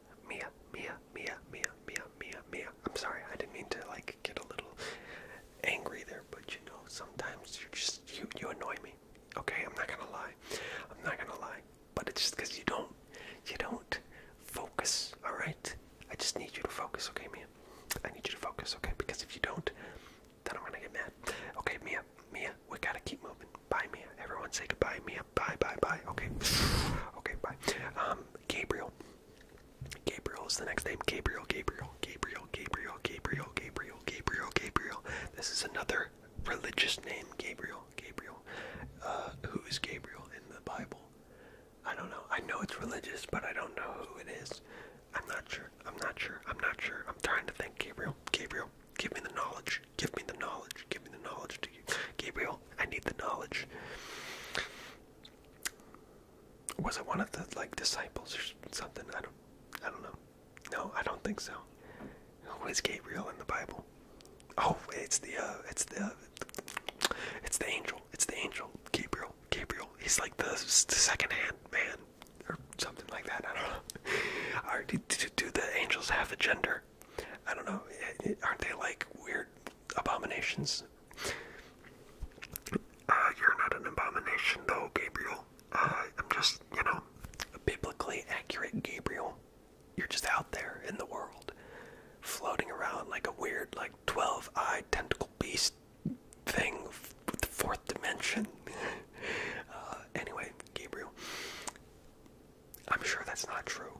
Mia, Mia, Mia, Mia, Mia, Mia, Mia. I'm sorry, I didn't mean to like get a little angry there, but you know, sometimes you just you you annoy me. Okay, I'm not gonna lie. I'm not gonna lie. But it's just because you don't you don't focus, alright? I just need you to focus, okay, Mia? I need you to focus, okay? Because if you don't, then I'm gonna get mad. Okay, Mia, Mia, we gotta keep moving. Bye, Mia. Everyone say goodbye, Mia. Bye, bye, bye. Okay. okay, bye. Um, Gabriel, Gabriel is the next name. Gabriel, Gabriel, Gabriel, Gabriel, Gabriel, Gabriel, Gabriel, Gabriel. This is another religious name, Gabriel, Gabriel. Uh, who is Gabriel in the Bible? I don't know. I know it's religious, but I don't know who it is. I'm not sure. I'm not sure. I'm not sure. I'm trying to think. Gabriel, Gabriel, give me the knowledge. Give me the knowledge. Give me the knowledge to you. Gabriel, I need the knowledge was it one of the like disciples or something? I don't, I don't know. No, I don't think so. Who is Gabriel in the Bible? Oh, it's the, uh, it's the, it's the angel. It's the angel, Gabriel. Gabriel. He's like the, second-hand man or something like that. I don't know. do, do, do the angels have a gender? I don't know. Eh, eh, aren't they like weird abominations. Uh, you're not an abomination, though, Gabriel. Uh, I'm just, you know, biblically accurate Gabriel. You're just out there in the world, floating around like a weird, like, 12 eyed tentacle beast thing with the fourth dimension. Uh, anyway, Gabriel, I'm sure that's not true.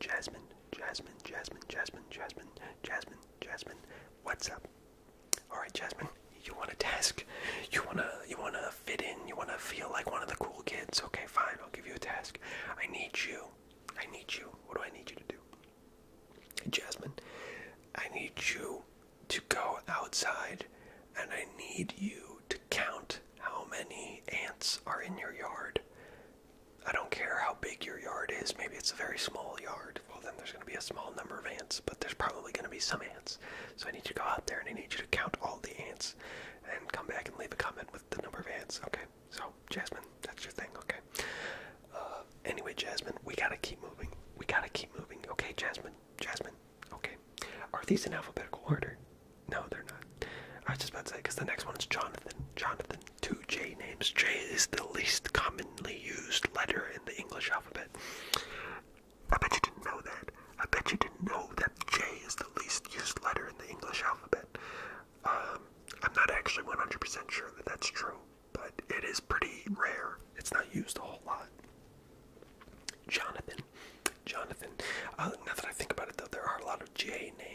Jasmine, Jasmine, Jasmine, Jasmine, Jasmine, Jasmine, Jasmine. What's up? All right, Jasmine, you want a task? You wanna, you wanna fit in? You wanna feel like one of the cool kids? Okay, fine. I'll give you a task. I need you. I need you. What do I need you to do? Jasmine, I need you to go outside and I need you to count how many ants are in your yard. I don't care how big your yard is. Maybe it's a very small yard. Well, then there's going to be a small number of ants, but there's probably going to be some ants. So I need you to go out there and I need you to count all the ants and come back and leave a comment with the number of ants, okay? So, Jasmine, that's your thing, okay? Uh, anyway, Jasmine, we got to keep moving. We got to keep moving, okay, Jasmine? Jasmine, okay. Are these in alphabetical order? No, they're not. I was just about to say, because the next one is Jonathan. Jonathan, two J names. J is the least commonly used letter in the English alphabet. I bet you didn't know that. I bet you didn't know that J is the least used letter in the English alphabet. Um, I'm not actually 100% sure that that's true, but it is pretty rare. It's not used a whole lot. Jonathan. Jonathan. Uh, now that I think about it, though, there are a lot of J names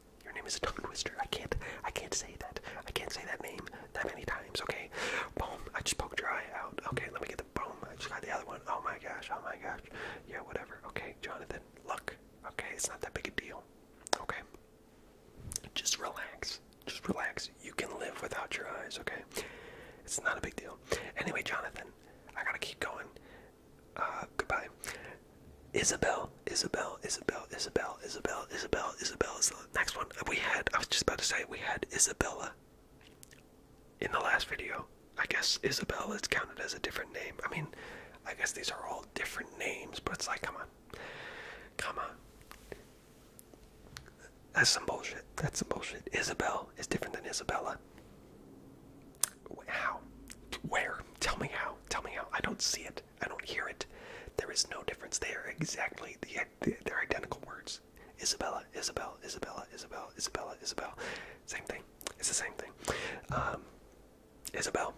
Your name is a tongue twister. I can't. I can't say that. I can't say that name that many times. Okay. Boom. I just poked your eye out. Okay. Let me get the boom. I just got the other one. Oh my gosh. Oh my gosh. Yeah. Whatever. Okay, Jonathan. Look. Okay. It's not that big a deal. Okay. Just relax. Just relax. You can live without your eyes. Okay. It's not a big deal. Anyway, Jonathan. I gotta keep going. Uh, goodbye. Isabel, Isabel, Isabel, Isabel, Isabel, Isabel, Isabel is the next one. We had, I was just about to say, we had Isabella in the last video. I guess Isabel is counted as a different name. I mean, I guess these are all different names, but it's like, come on. Come on. That's some bullshit. That's some bullshit. Isabel is different than Isabella. How? Where? Tell me how. Tell me how. I don't see it. I don't hear it. There is no difference. They are exactly the they're identical words. Isabella, Isabel, Isabella, Isabel, Isabella, Isabel. Same thing. It's the same thing. Um, Isabel.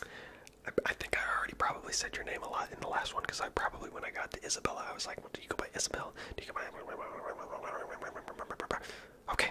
I, I think I already probably said your name a lot in the last one because I probably when I got to Isabella I was like, what do you go by Isabel? Do you go by? Okay,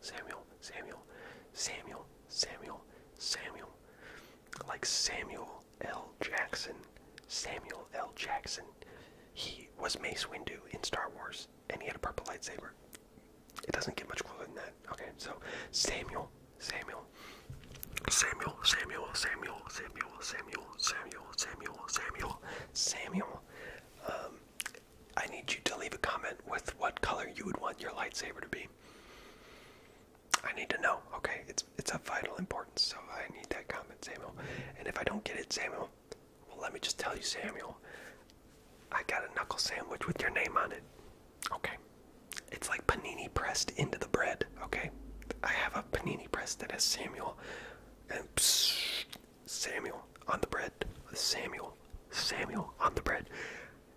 Samuel, Samuel, Samuel, Samuel, Samuel, Samuel. Like Samuel L. Jackson. Samuel L. Jackson. He was Mace Windu in Star Wars, and he had a purple lightsaber. It doesn't get much cooler than that. Okay, so Samuel, Samuel, Samuel, Samuel, Samuel, Samuel, Samuel, Samuel, Samuel, Samuel, Samuel. Um, I need you to leave a comment with what color you would want your lightsaber to be. I need to know. Okay, it's it's of vital importance, so I need that comment, Samuel. And if I don't get it, Samuel, well, let me just tell you, Samuel, I got a knuckle sandwich with your name on it. Okay, it's like panini pressed into the bread. Okay, I have a panini pressed that has Samuel and psst, Samuel on the bread. Samuel, Samuel on the bread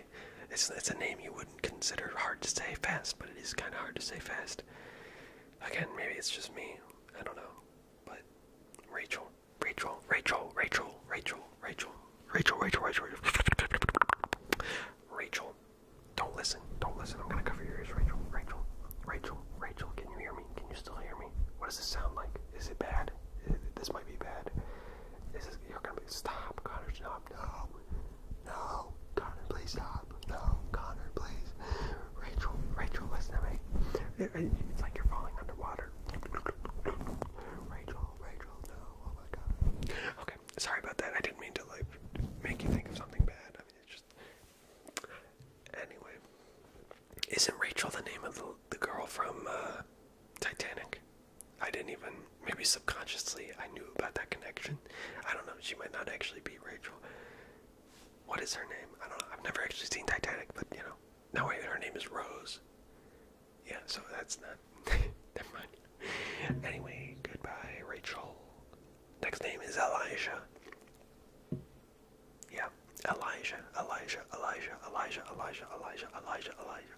say. It's it's a name you wouldn't consider hard to say fast, but it is kind of hard to say fast. Again, maybe it's just me. I don't know. But Rachel, Rachel, Rachel, Rachel, Rachel, Rachel, Rachel, Rachel, Rachel, Rachel. Rachel, don't listen. Don't listen. I'm gonna cover your ears, Rachel. Rachel, Rachel, Rachel. Can you hear me? Can you still hear me? What does this sound like? Is it bad? Is it, this might be bad. This is you're gonna be stop, Connor. Stop. No. No, Connor, please stop. No, Connor, please. Rachel, Rachel, listen to me. It's like you're falling underwater. Rachel, Rachel, no. Oh my God. Okay, sorry about that. I didn't mean to like make you think of something bad. just. Anyway, isn't Rachel the name of the the girl from uh, Titanic? I didn't even, maybe subconsciously, I knew about that connection. I don't know, she might not actually be Rachel. What is her name? I don't know, I've never actually seen Titanic, but you know. No, wait, her name is Rose. Yeah, so that's not, never mind. Anyway, goodbye, Rachel. Next name is Elijah. Yeah, Elijah, Elijah, Elijah, Elijah, Elijah, Elijah, Elijah, Elijah,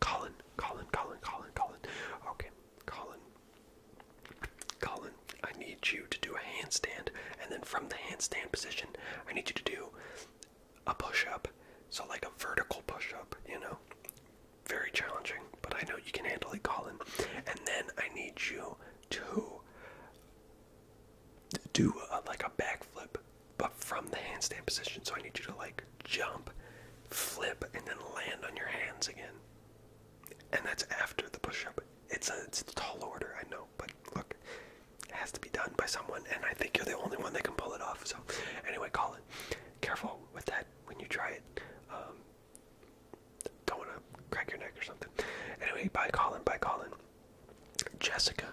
Colin, Colin, Colin, Colin, Colin. Okay, Colin. Colin, I need you to do a handstand, and then from the handstand position, I need you to do a push up. So, like a vertical push up, you know? Very challenging, but I know you can handle it, Colin. And then I need you to do like a backflip but from the handstand position. So I need you to like jump, flip, and then land on your hands again. And that's after the push up. It's a, it's a tall order, I know, but look, it has to be done by someone, and I think you're the only one that can pull it off. So, anyway, call it. Careful with that when you try it. Um, don't want to crack your neck or something. Anyway, bye Colin, bye Colin. Jessica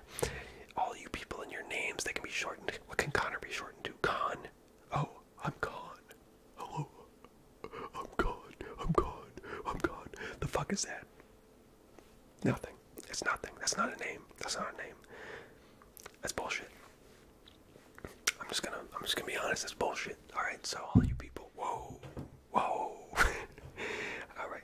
all you people in your names they can be shortened. What can Connor be shortened to? Con. Oh, I'm gone. Hello. I'm gone. I'm gone. I'm gone. The fuck is that? Nothing. It's nothing. That's not a name. That's not a name. That's bullshit. I'm just gonna I'm just gonna be honest, that's bullshit. Alright, so all you people, whoa, whoa. Alright.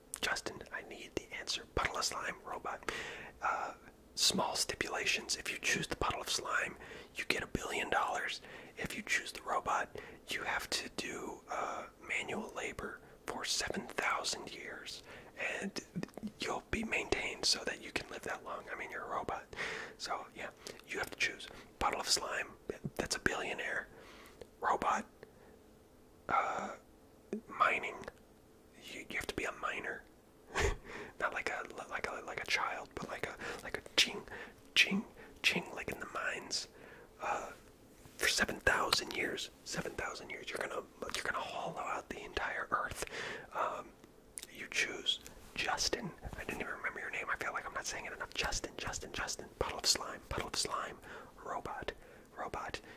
Justin, I need the answer. Puddle of slime, robot. Uh, small stipulations. If you choose the puddle of slime, you get a billion dollars. If you choose the robot, you have to do uh, manual labor for 7,000 years. And you'll be maintained so that you can live that long. I mean, you're a robot. So, yeah, you have to choose. Puddle of slime, that's a billionaire. Robot, uh, mining, you, have to be a miner, not like a like a like a child, but like a like a ching, ching, ching, like in the mines. Uh, for seven thousand years, seven thousand years, you're gonna you're gonna hollow out the entire earth. Um, you choose Justin. I didn't even remember your name. I feel like I'm not saying it enough. Justin, Justin, Justin. Puddle of slime, puddle of slime. Robot, robot.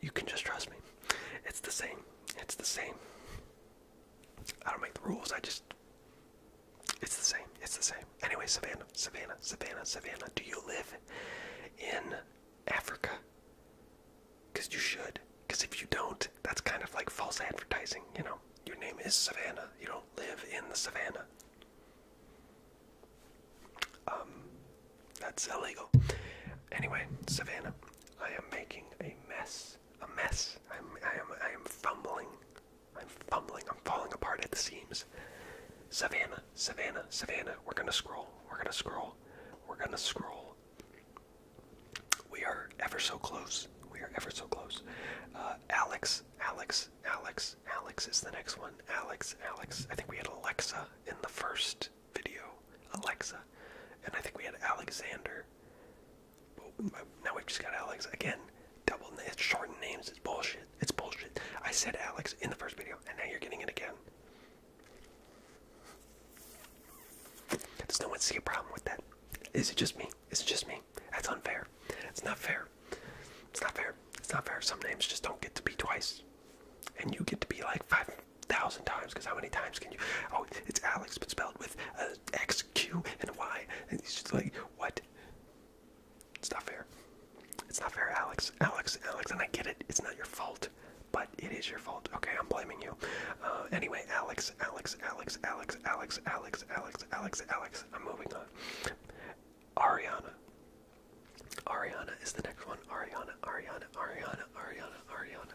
You can just trust me. It's the same. It's the same. I don't make the rules. I just. It's the same. It's the same. Anyway, Savannah, Savannah, Savannah, Savannah. Do you live in Africa? Because you should. Because if you don't, that's kind of like false advertising. You know, your name is Savannah. You don't live in the Savannah. Um, that's illegal. Anyway, Savannah, I am making a mess. A mess. I'm, I am, I am fumbling. I'm fumbling. I'm falling apart at the seams. Savannah, Savannah, Savannah. We're gonna scroll. We're gonna scroll. We're gonna scroll. We are ever so close. We are ever so close. Uh, Alex, Alex, Alex, Alex is the next one. Alex, Alex. I think we had Alexa in the first first video, Alexa, and I think we had Alexander. But uh, now we've just got Alex again. Double it's shortened names. It's bullshit. It's bullshit. I said Alex in the first video, and now you're getting it again. Does no one see a problem with that? Is it just me? Is it just me? That's unfair. It's not fair. It's not fair. It's not fair. Some names just don't get to be twice. And you get to be like five thousand times because how many times can you? Oh, it's Alex, but spelled with X, Q, and Y. And he's just like, what? It's not fair. It's not fair, Alex. Alex, Alex, and I get it. It's not your fault, but it is your fault. Okay, I'm blaming you. Uh, anyway, Alex, Alex, Alex, Alex, Alex, Alex, Alex, Alex, Alex. I'm moving on. Ariana. Ariana is the next one. Ariana, Ariana, Ariana, Ariana, Ariana.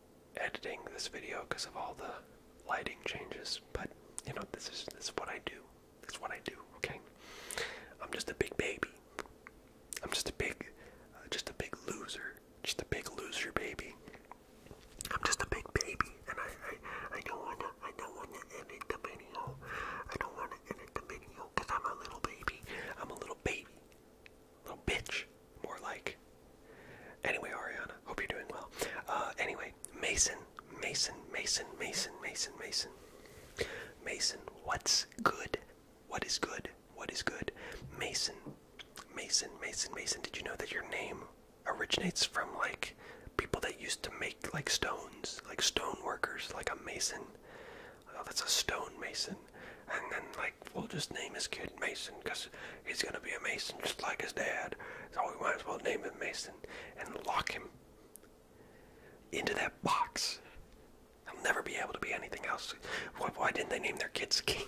editing this video because of all the lighting changes, but you know this is this is what I do. This is what I do. Okay, I'm just a big baby. I'm just a big, uh, just a big loser. Just a big loser baby. I'm just a big baby, and I, I, I don't wanna, I don't wanna edit the video. I don't wanna edit the video because I'm a little baby. I'm a little baby. Little bitch. More like. Anyway, Ariana, hope you're doing well. Uh, anyway, Mason, Mason, Mason, Mason, Mason, Mason. Mason, what's good? What is good? What is good? Mason, Mason, Mason, Mason. Did you know that your name originates from like people that used to make like stones, like stone workers, like a mason? Oh, that's a stonemason and then like we'll just name his kid Mason because he's gonna be a Mason just like his dad. So we might as well name him Mason and lock him into that box. He'll never be able to be anything else. Why, why didn't they name their kids King?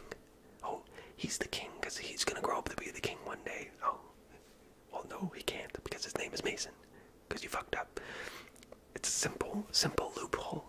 Oh, he's the king because he's gonna grow up to be the king one day. Oh, well no, he can't because his name is Mason. Because you fucked up. It's a simple, simple loophole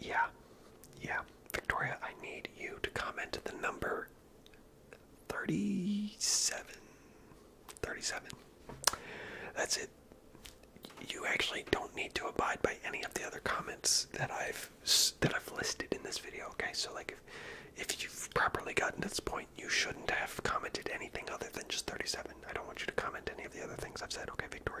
yeah, yeah. Victoria, I need you to comment the number 37. That's it. You actually don't need to abide by any of the other comments that I've that I've listed in this video. Okay, so like if if you've properly gotten to this point, you shouldn't have commented anything other than just 37. I don't want you to comment any of the other things I've said. Okay, Victoria.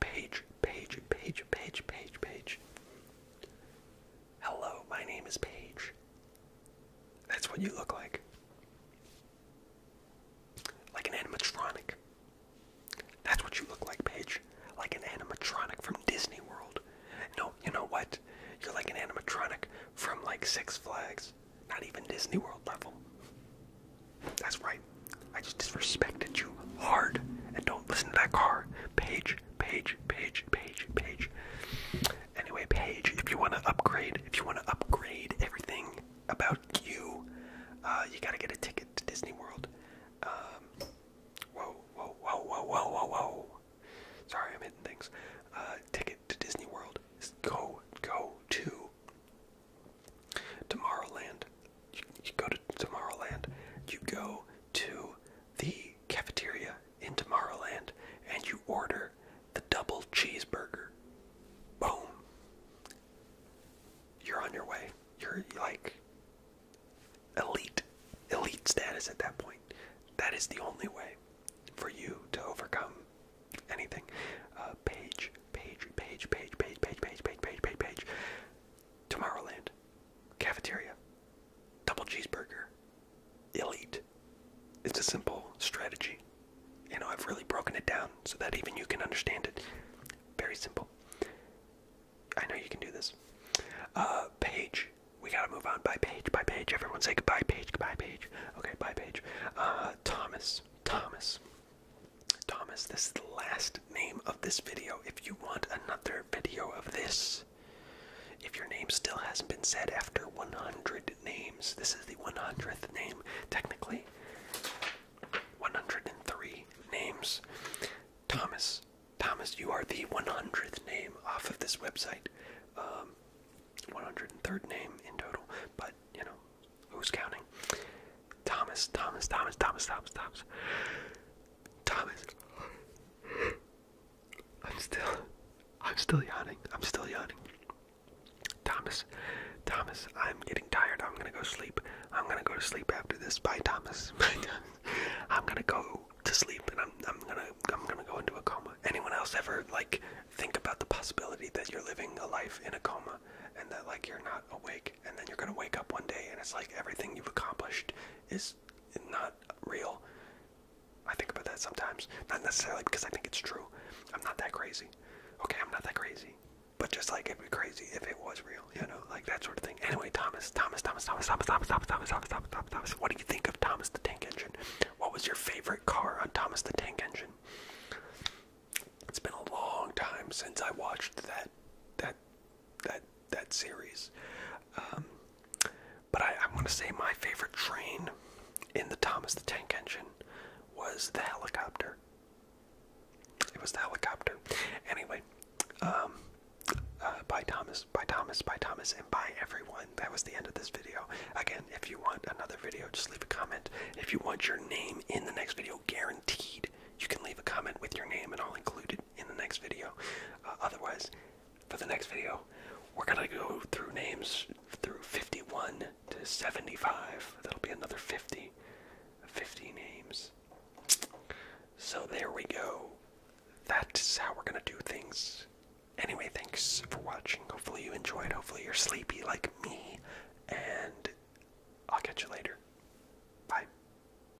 page, page, page, page, page, page, Hello, my name is Paige. That's what you look like. Like an animatronic. That's what you look like, Paige. Like an animatronic from Disney World. No, you know what? You're like an animatronic from like Six Flags. Not even Disney World level. That's right. I just disrespected you hard. And don't listen to that car. Page, Page, Page, Page, Page. Anyway, Page, if you want to upgrade, if you want to upgrade everything about you, uh, you gotta get a ticket to Disney World. Um, whoa, whoa, whoa, whoa, whoa, whoa, whoa. Sorry, I'm hitting things. Uh, ticket to Disney World. Go, go to Tomorrowland you, go to Tomorrowland, you go to the cafeteria in Tomorrowland, and you order the double cheeseburger. Boom. You're on your way. You're like elite, elite status at that point. That is the only way for you to overcome anything. page, page, page, page, page, page, page, page, page, page. Tomorrowland, cafeteria, double cheeseburger, elite. It's a simple strategy. You know, I've really broken it down so that even you can understand it. Very simple. I know you can do this. Uh, page. We gotta move on by page, by page. Everyone say goodbye, page, goodbye, page. Okay, bye, page. Uh, Thomas. Thomas. Thomas, this is the last name of this video if you want another video of this. If your name still hasn't been said after 100 names, this is the 100th name, technically. 103 names. Thomas, Thomas, you are the 100th name off of this website. Um, 103rd name in total, but you know, who's counting? Thomas, Thomas, Thomas, Thomas, Thomas, Thomas. Thomas. I'm still, I'm still yawning. I'm still yawning. Thomas, Thomas, I'm getting tired. I'm gonna go sleep. I'm gonna go to sleep after this. Bye, Thomas. I'm gonna go to sleep, and I'm, I'm gonna, I'm gonna go into a coma. Anyone else ever like think about the possibility that you're living a life in a coma, and that like you're not awake, and then you're gonna wake up one day, and it's like everything you've accomplished is is not real. I think about that sometimes. Not necessarily because I think it's true. I'm not that crazy. Okay, I'm not that crazy. But just like it'd be crazy if it was real, you know, like that sort of thing. Anyway, Thomas, Thomas, Thomas, Thomas, Thomas, Thomas, Thomas, Thomas, Thomas, Thomas, Thomas, Thomas. What do you think of Thomas the Tank Engine? What was your favorite car on Thomas the Tank Engine? It's been a long time since I watched that that that that series. Um, but I, I want to say my favorite train in the Thomas the Tank Engine was the helicopter. It was the helicopter. Anyway, um, uh, by Thomas, by Thomas, by Thomas, and by everyone. That was the end of this video. Again, if you want another video, just leave a comment. If you want your name in the next video, guaranteed, you can leave a comment with your name, and I'll include it in the next video. Uh, otherwise, for the next video, we're gonna go through names through 51 to 75. That'll be another 50, 50 names. So there we go. That's how we're gonna do things. Anyway, thanks for watching. Hopefully you enjoyed. Hopefully you're sleepy like me. And I'll catch you later. Bye.